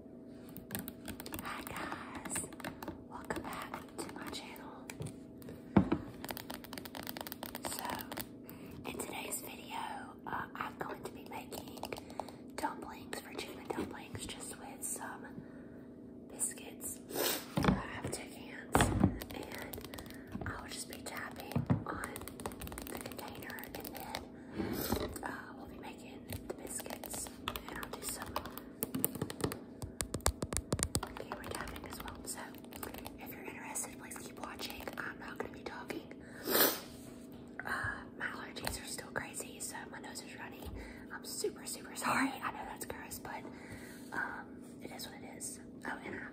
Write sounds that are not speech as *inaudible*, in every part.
Hi guys, welcome back to my channel. So, in today's video, uh, I'm going to be making dumplings, for Virginia dumplings, just with some biscuits. I have two cans, and I will just be tapping on the container, and then uh, we'll be making the biscuits, and I'll do some camera tapping as well. So, if you're interested, please keep watching. I'm not going to be talking. Uh, my allergies are still crazy, so my nose is running. I'm super, super sorry. I know that's gross, but um, it is what it is. Oh, and I have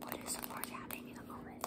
What is more tapping in a moment?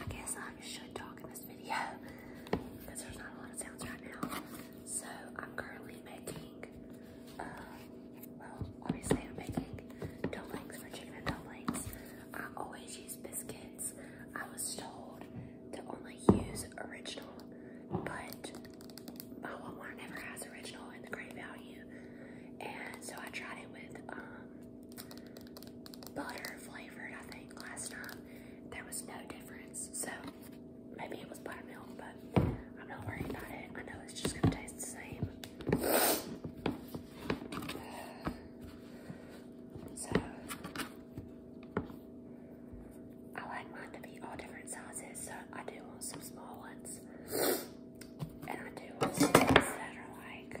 I guess I should talk in this video because there's not a lot of sounds right now. So I'm currently making, uh, well, obviously I'm making dough for chicken and I always use biscuits. I was told to only use original, but my Walmart never has original in the great value. And so I tried it with um, butter flavored, I think, last time. There was no difference. So maybe it was buttermilk, but I'm not worried about it. I know it's just gonna taste the same. So I like mine to be all different sizes, so I do want some small ones. And I do want some that are like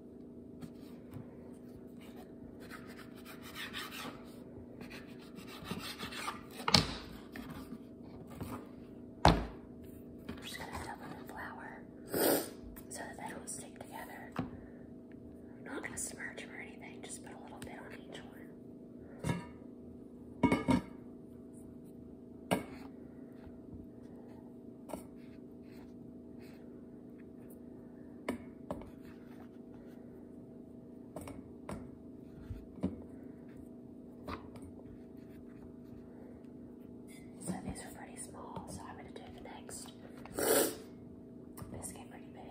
I'm just gonna fill them in flour so that they don't stick together. I'm not gonna submerge them or anything, just put a little bit on each one. So these are pretty small, so I'm going to do the next. This came pretty big.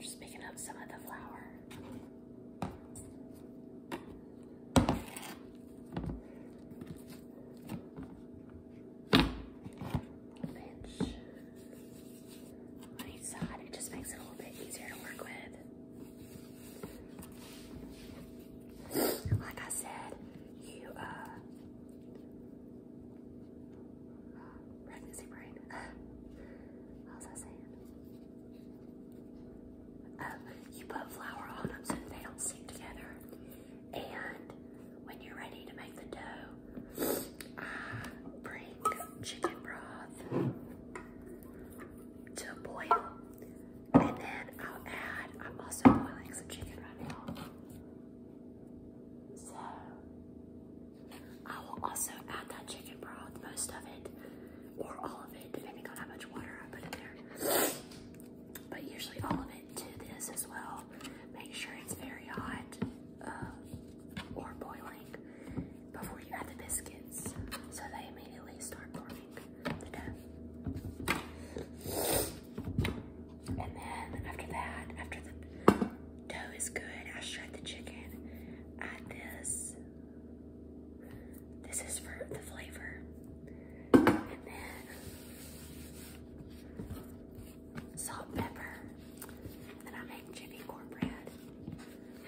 Just picking up some of the flour on each side. It just makes it a little bit easier to work with. Like I said, you uh pregnancy brain. *laughs* what was I uh, you put flour on them so they don't stick together. And when you're ready to make the dough, I bring chicken broth to a boil. And then I'll add, I'm also boiling some chicken right now. So I will also add that chicken broth, most of it, or all of it, depending on how much water I put in there. But usually all of it it to this as well. Make sure it's very hot uh, or boiling before you add the biscuits so they immediately start forming the dough. And then after that, after the dough is good, I shred the chicken. Add this. This is for the flavor salt, pepper, and I make Jimmy cornbread.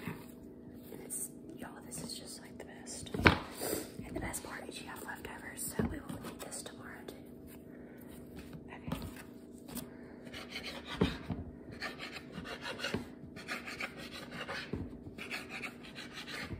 And it's, this is just like the best. And the best part is you have leftovers, so we will eat this tomorrow too.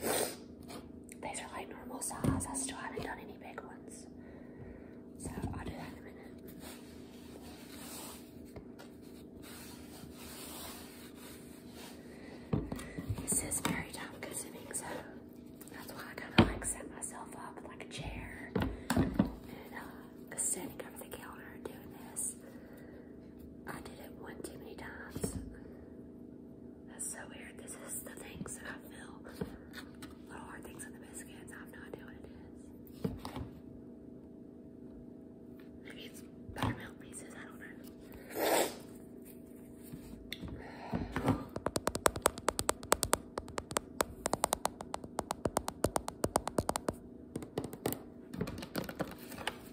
These are like normal size. I still haven't done any big ones. So i do that in a minute. This is very time consuming, so that's why I kind of like set myself up like a chair and uh, standing over the counter doing this. I did it one too many times. That's so weird. This is the things that I feel. Little hard things in the biscuits. I have no idea what it is. Maybe it's buttermilk pieces. I don't know.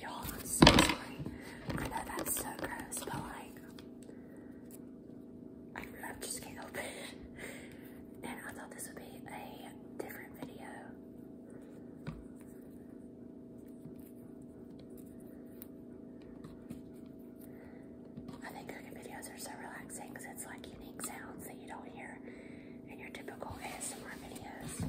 Y'all, I'm so sorry. I know that's so gross, but like, I love to scalp. and I thought this would be a different video. I think cooking videos are so relaxing because it's like unique sounds that you don't hear in your typical ASMR videos.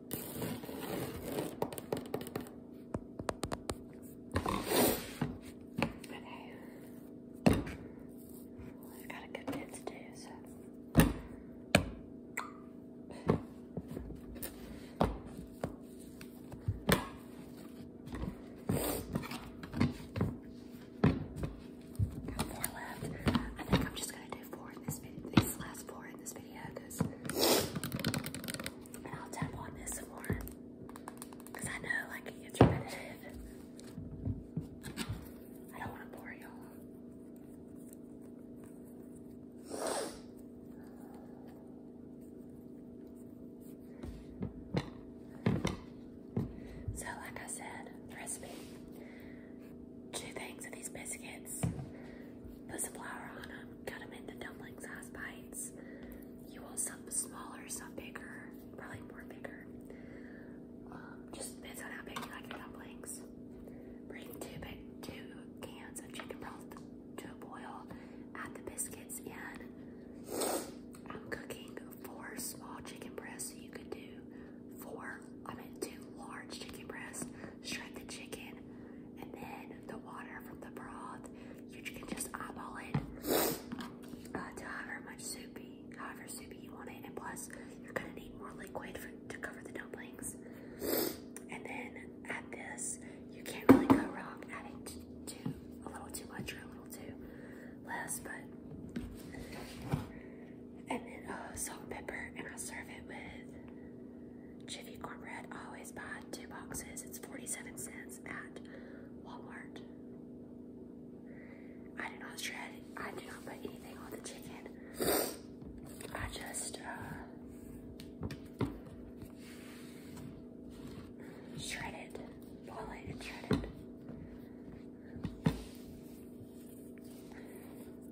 Okay. I've got a good bit to do, so. Got four left. I think I'm just gonna do four in this video, these last four in this video, because I'll tap on this some Because I know, like, it's repetitive. I don't So, like I said, the recipe two things of these biscuits, put some flour on them, cut them into dumpling size bites. You want some smaller, some bigger, probably more bigger. Um, just depends on how big you like your dumplings. Bring two big, two cans of chicken broth to a boil. Add the biscuits in. I'm cooking four small chicken breasts. So you could do four, I mean two large chicken breasts, shred the chicken, and then the water from the broth. You can just eyeball it uh, to however much soupy, however soupy you want it. And plus, you're gonna need more liquid for, to cover the dumplings. And then add this. You can't really go wrong adding too, a little too much or a little too less, but. And then uh, salt and pepper, and I serve it with Jiffy Cornbread, always buy two boxes. It's 47 cents at Walmart. I do not shred, I do not put anything on the chicken. I just uh, shred it, boil it, and shred it.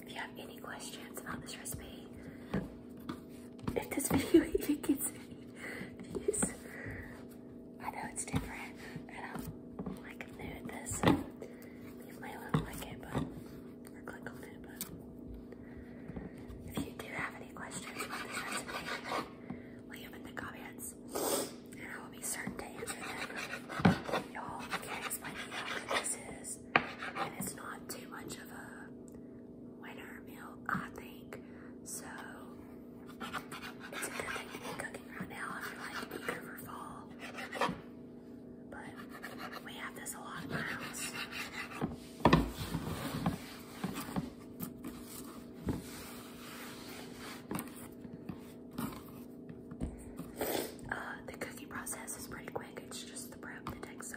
If you have any questions about this recipe, if this *laughs* video even gets views, I know it's different and I'm like new at this. So you may like it, but or click on it, but if you do have any questions about this recipe, leave them in the comments. And I will be certain to answer them. Y'all can explain to you this is. And it's not too much of a winter meal, I think. So, it's a good thing to be cooking right now if you like to for fall. But we have this a house. Uh, the cookie process is pretty quick. It's just the prep the takes so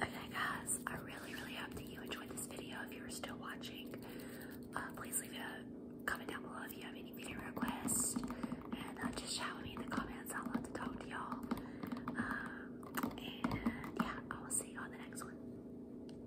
Okay guys, I really really hope that you enjoyed this video. If you were still watching, uh, please leave a comment down below if you have any video requests. And uh, just shout at me in the comments. i love to talk to y'all. Um, and yeah, I will see you on the next one.